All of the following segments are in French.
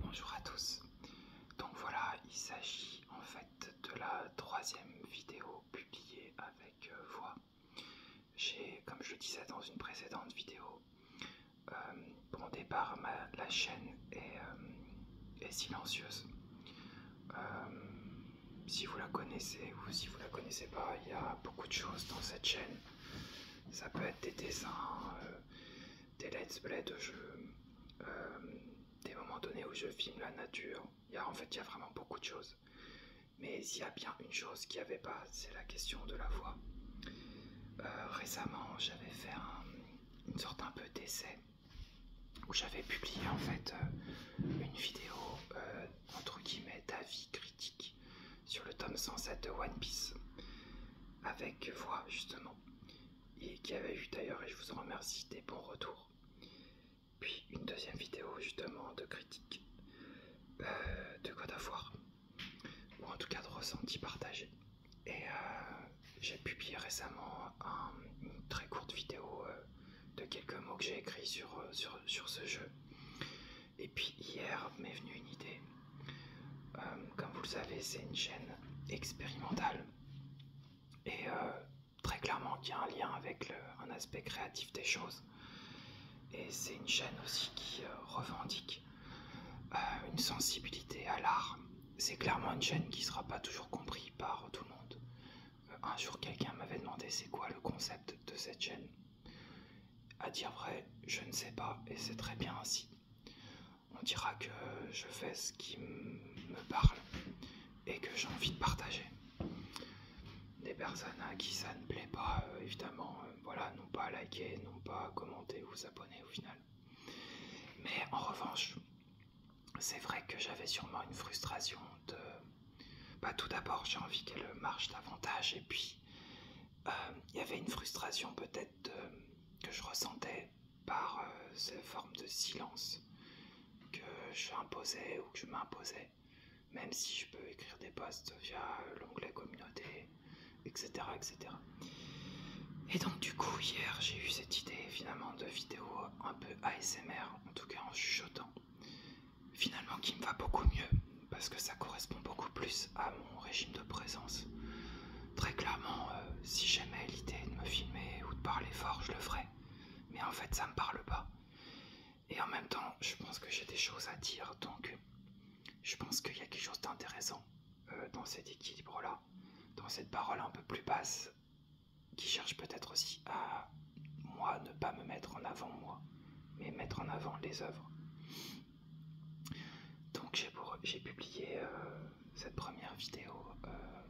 Bonjour à tous. Donc voilà, il s'agit en fait de la troisième vidéo publiée avec euh, voix. J'ai, comme je le disais dans une précédente vidéo, pour euh, bon départ, la chaîne est, euh, silencieuse. si vous la connaissez ou si vous ne la connaissez pas, il y a beaucoup de choses dans cette chaîne ça peut être des dessins, euh, des let's play de jeux, euh, des moments donnés où je filme la nature. Il en fait, il y a vraiment beaucoup de choses. Mais il y a bien une chose qu'il n'y avait pas, c'est la question de la voix. Euh, récemment, j'avais fait une sorte un peu d'essai où j'avais publié en fait une vidéo euh, entre guillemets vie sur le tome 107 de One Piece, avec voix justement, et qui avait eu d'ailleurs, et je vous en remercie, des bons retours. Puis une deuxième vidéo justement de critique euh, de quoi d'avoir, ou en tout cas de ressenti partagé. Et euh, j'ai publié récemment une très courte vidéo euh, de quelques mots que j'ai écrits sur, sur, sur ce jeu. Et puis hier m'est venue une idée. Euh, comme vous le savez, c'est une chaîne expérimentale. Et euh, très clairement qui a un lien avec un aspect créatif des choses. Et c'est une chaîne aussi qui euh, revendique une sensibilité à l'art. C'est clairement une chaîne qui ne sera pas toujours comprise par tout le monde. un jour, quelqu'un m'avait demandé c'est quoi le concept de cette chaîne. À dire vrai, je ne sais pas et c'est très bien ainsi. On dira que je fais ce qui me parle et que j'ai envie de partager. Des personnes à qui ça ne plaît pas, euh, évidemment, euh, voilà, non pas liker, non pas commenter ou abonner au final. Mais en revanche, c'est vrai que j'avais sûrement une frustration de bah, Tout d'abord, j'ai envie qu'elle marche davantage, et puis euh, il y avait une frustration peut-être que je ressentais par euh, ces formes de silence que je imposais ou que je m'imposais, même si je peux écrire des posts via l'onglet communauté, etc., etc. Et donc du coup hier j'ai eu cette idée finalement de vidéo un peu ASMR, en tout cas en chuchotant, finalement qui me va beaucoup mieux parce que ça correspond beaucoup plus à mon régime de présence. Très clairement, euh, si j'aimais l'idée de me filmer ou de parler fort, je le ferais. Mais en fait, ça me parle pas. Et en même temps, je pense que j'ai des choses à dire, donc euh, je pense qu'il y a quelque chose d'intéressant euh, dans cet équilibre-là, dans cette parole un peu plus basse qui cherche peut-être aussi à, moi, ne pas me mettre en avant moi, mais mettre en avant les œuvres. Donc j'ai publié euh, cette première vidéo euh,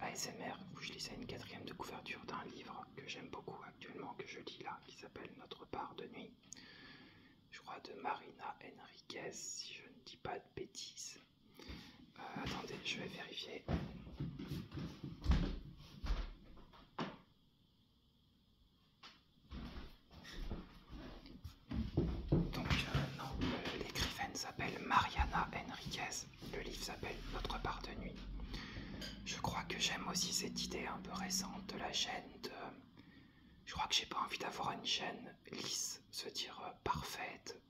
ASMR où je lisais une quatrième de couverture d'un livre que j'aime beaucoup actuellement, que je lis là, qui s'appelle Notre part de nuit, je crois de Marina Enriquez, si je ne dis pas de bêtises. Euh, attendez, je vais vérifier. Donc euh, euh, l'écrivaine s'appelle Mariana Henriquez, le livre s'appelle Notre part de nuit. Je crois que j'aime aussi cette idée un peu récente de la gêne de... Je crois que j'ai pas envie d'avoir une gêne lisse, se dire euh, parfaite,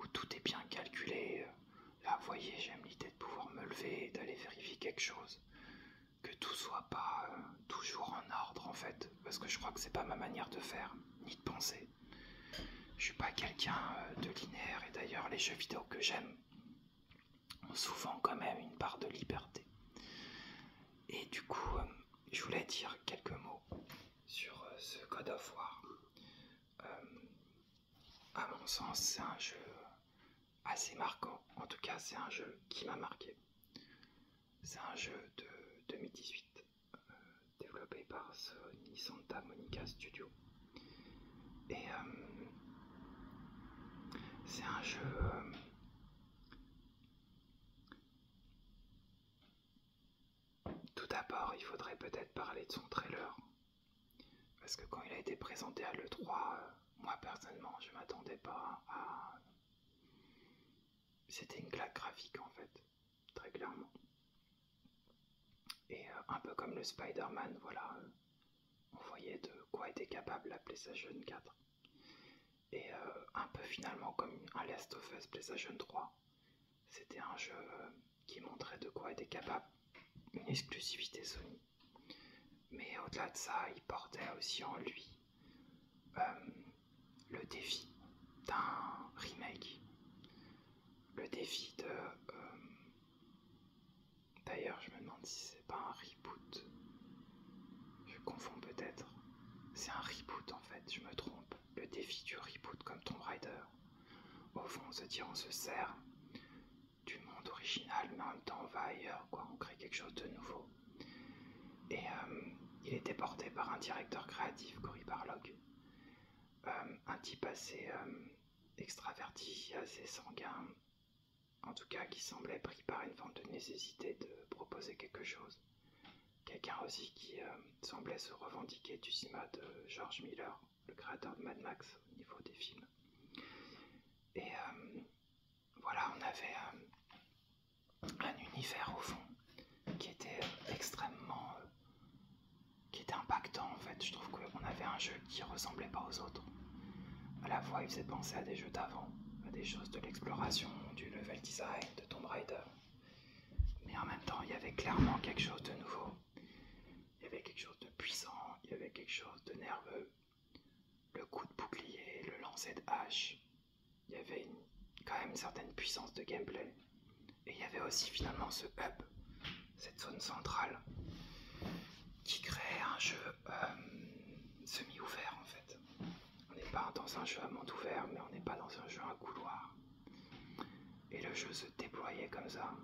où tout est bien calculé, Là, ah, voyez, j'aime l'idée de pouvoir me lever et d'aller vérifier quelque chose. Que tout soit pas euh, toujours en ordre en fait, parce que je crois que c'est pas ma manière de faire, ni de penser. Je suis pas quelqu'un euh, de linéaire et d'ailleurs les jeux vidéo que j'aime ont souvent quand même une part de liberté. Et du coup, euh, je voulais dire quelques mots sur ce Code of War à mon sens, c'est un jeu assez marquant. En tout cas, c'est un jeu qui m'a marqué. C'est un jeu de 2018 euh, développé par Sony Santa Monica Studio. Et euh, c'est un jeu euh, tout d'abord, il faudrait peut-être parler de son trailer. Parce que quand il a été présenté à l'E3, euh, moi personnellement, je m'attendais pas à. C'était une claque graphique en fait, très clairement. Et euh, un peu comme le Spider-Man, voilà, euh, on voyait de quoi était capable la PlayStation 4. Et un peu finalement comme un Last of Us PlayStation 3. C'était un jeu euh, qui montrait de quoi était capable une exclusivité Sony. Mais au-delà de ça, il portait aussi en lui euh, le défi d'un remake. Le défi de... Euh, d'ailleurs, je me demande si c'est pas un reboot. Je confonds peut-être. C'est un reboot en fait, je me trompe le défi du reboot comme Tomb Raider. Au fond, on se dit, on se sert du monde original, mais en même temps, on va ailleurs, On crée quelque chose de nouveau. Et euh, il était porté par un directeur créatif, Cory Barlog, euh, un type assez euh, extraverti, assez sanguin, en tout cas qui semblait pris par une forme de nécessité de proposer quelque chose. Quelqu'un aussi qui euh, semblait se revendiquer du cinéma de George Miller, le créateur de Mad Max, au niveau des films. Et euh, voilà, on avait euh, un univers au fond qui était extrêmement. qui était impactant en fait. Je trouve qu'on avait un jeu qui ressemblait pas aux autres. À la fois, il faisait penser à des jeux d'avant, à des choses de l'exploration, du level design, de Tomb Raider. Mais en même temps, il y avait clairement quelque chose de nouveau. Il y avait quelque chose de puissant, il y avait quelque chose de nerveux. Le coup de bouclier, le lancer de hache, il y avait quand même une certaine puissance de gameplay. Et il y avait aussi finalement ce hub, cette zone centrale, qui créait un jeu euh, semi-ouvert en fait. On n'est pas dans un jeu à monde ouvert, mais on n'est pas dans un jeu à couloir. Et le jeu se déployait comme ça,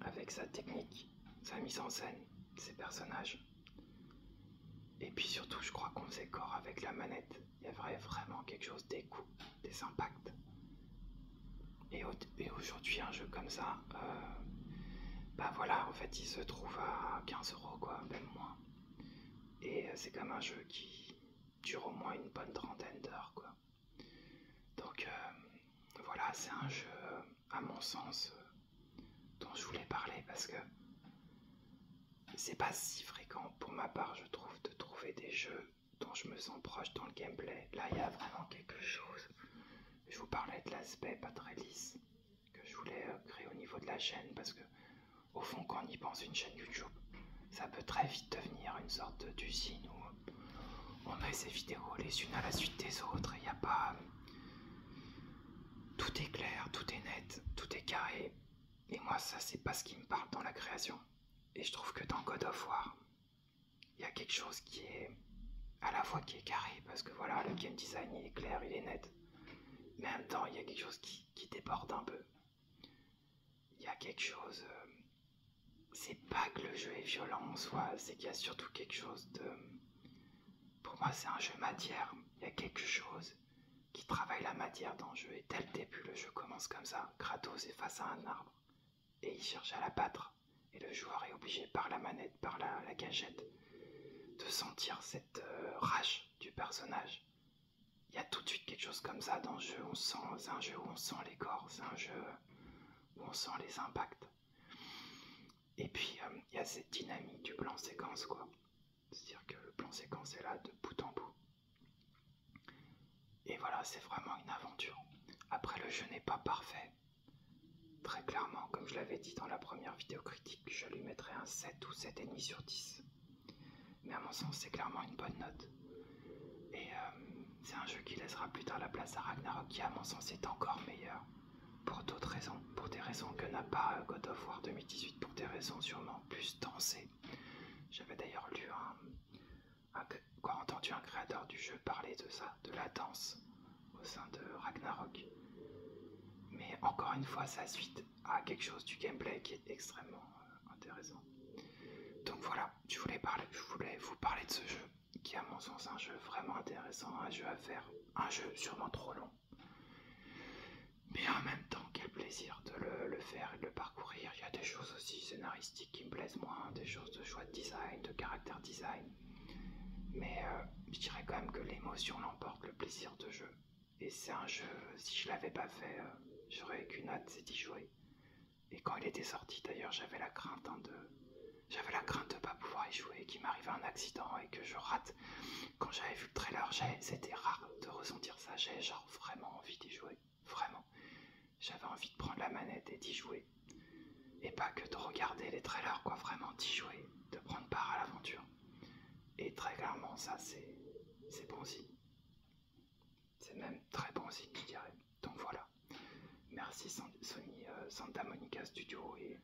avec sa technique, sa mise en scène, ses personnages. Et puis surtout, je crois qu'on faisait corps avec la manette. Il y avait vraiment quelque chose des coups, des impacts. Et, aujourd'hui, un jeu comme ça, euh, bah voilà, en fait, il se trouve à 15 euros, quoi, même moins. Et euh, c'est comme un jeu qui dure au moins une bonne trentaine d'heures, quoi. Donc euh, voilà, c'est un jeu, euh, à mon sens, dont je voulais parler parce que c'est pas si fréquent pour ma part, je trouve, de trouver des jeux dont je me sens proche dans le gameplay. Là, il y a vraiment quelque chose. Je vous parlais de l'aspect pas très lisse que je voulais euh, créer au niveau de la chaîne parce que au fond quand on y pense une chaîne YouTube ça peut très vite devenir une sorte d'usine où on met ses vidéos les unes à la suite des autres et il n'y a pas euh, tout est clair, tout est net, tout est carré et moi ça c'est pas ce qui me parle dans la création et je trouve que dans God of War il y a quelque chose qui est à la fois qui est carré parce que voilà le game design il est clair, il est net mais en même temps, il y a quelque chose qui, déborde un peu. Il y a quelque chose. Euh, c'est pas que le jeu est violent en soi, c'est qu'il y a surtout quelque chose de. Pour moi, c'est un jeu matière. Il y a quelque chose qui travaille la matière dans le jeu. Et dès le début, le jeu commence comme ça. Kratos est face à un arbre et il cherche à l'abattre. Et le joueur est obligé par la manette, par la gâchette, de sentir cette euh, rage du personnage. Il y a tout de suite quelque chose comme ça dans le jeu. c'est un jeu où on sent les corps, c'est un jeu euh, où on sent les impacts. Et puis euh, il y a cette dynamique du plan séquence, quoi. C'est-à-dire que le plan séquence est là de bout en bout. Et voilà, c'est vraiment une aventure. Après, le jeu n'est pas parfait. Très clairement, comme je l'avais dit dans la première vidéo critique, je lui mettrai un 7 ou 7,5 sur 10. Mais à mon sens, c'est clairement une bonne note. Et euh, c'est un jeu qui laissera plus tard la place à Ragnarok, qui à mon sens est encore meilleur. Pour d'autres raisons, pour des raisons que n'a pas euh, God of War 2018, pour des raisons sûrement plus dansées. J'avais d'ailleurs lu un, Quoi, entendu un créateur du jeu parler de ça, de la danse au sein de Ragnarok. Mais encore une fois, ça suite à quelque chose du gameplay qui est extrêmement euh, intéressant. Donc voilà, je voulais, parler, je voulais vous parler de ce jeu, qui à mon sens est un jeu vraiment intéressant, un jeu à faire, un jeu sûrement trop long. Mais en même temps, quel plaisir de le, le faire et de le parcourir. Il y a des choses aussi scénaristiques qui me plaisent moins, des choses de choix de design, de caractère design, mais euh, je dirais quand même que l'émotion l'emporte, le plaisir de jeu. Et c'est un jeu, si je l'avais pas fait, euh, j'aurais j'aurais qu'une hâte, c'est d'y jouer. Et quand il était sorti d'ailleurs, j'avais la crainte hein, de. J'avais la crainte de pas pouvoir y jouer, qu'il m'arrive un accident et que je rate. Quand j'avais vu le trailer, c'était rare de ressentir ça. J'avais genre vraiment envie d'y jouer. Vraiment. J'avais envie de prendre la manette et d'y jouer. Et pas que de regarder les trailers, quoi, vraiment d'y jouer, de prendre part à l'aventure. Et très clairement, ça, c'est, c'est bon signe. C'est même très bon signe, je dirais. Donc voilà. Merci Sony euh, Santa Monica Studio et,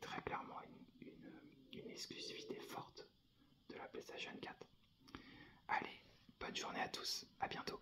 très clairement une, une exclusivité forte de la PlayStation 4. Allez, bonne journée à tous, à bientôt.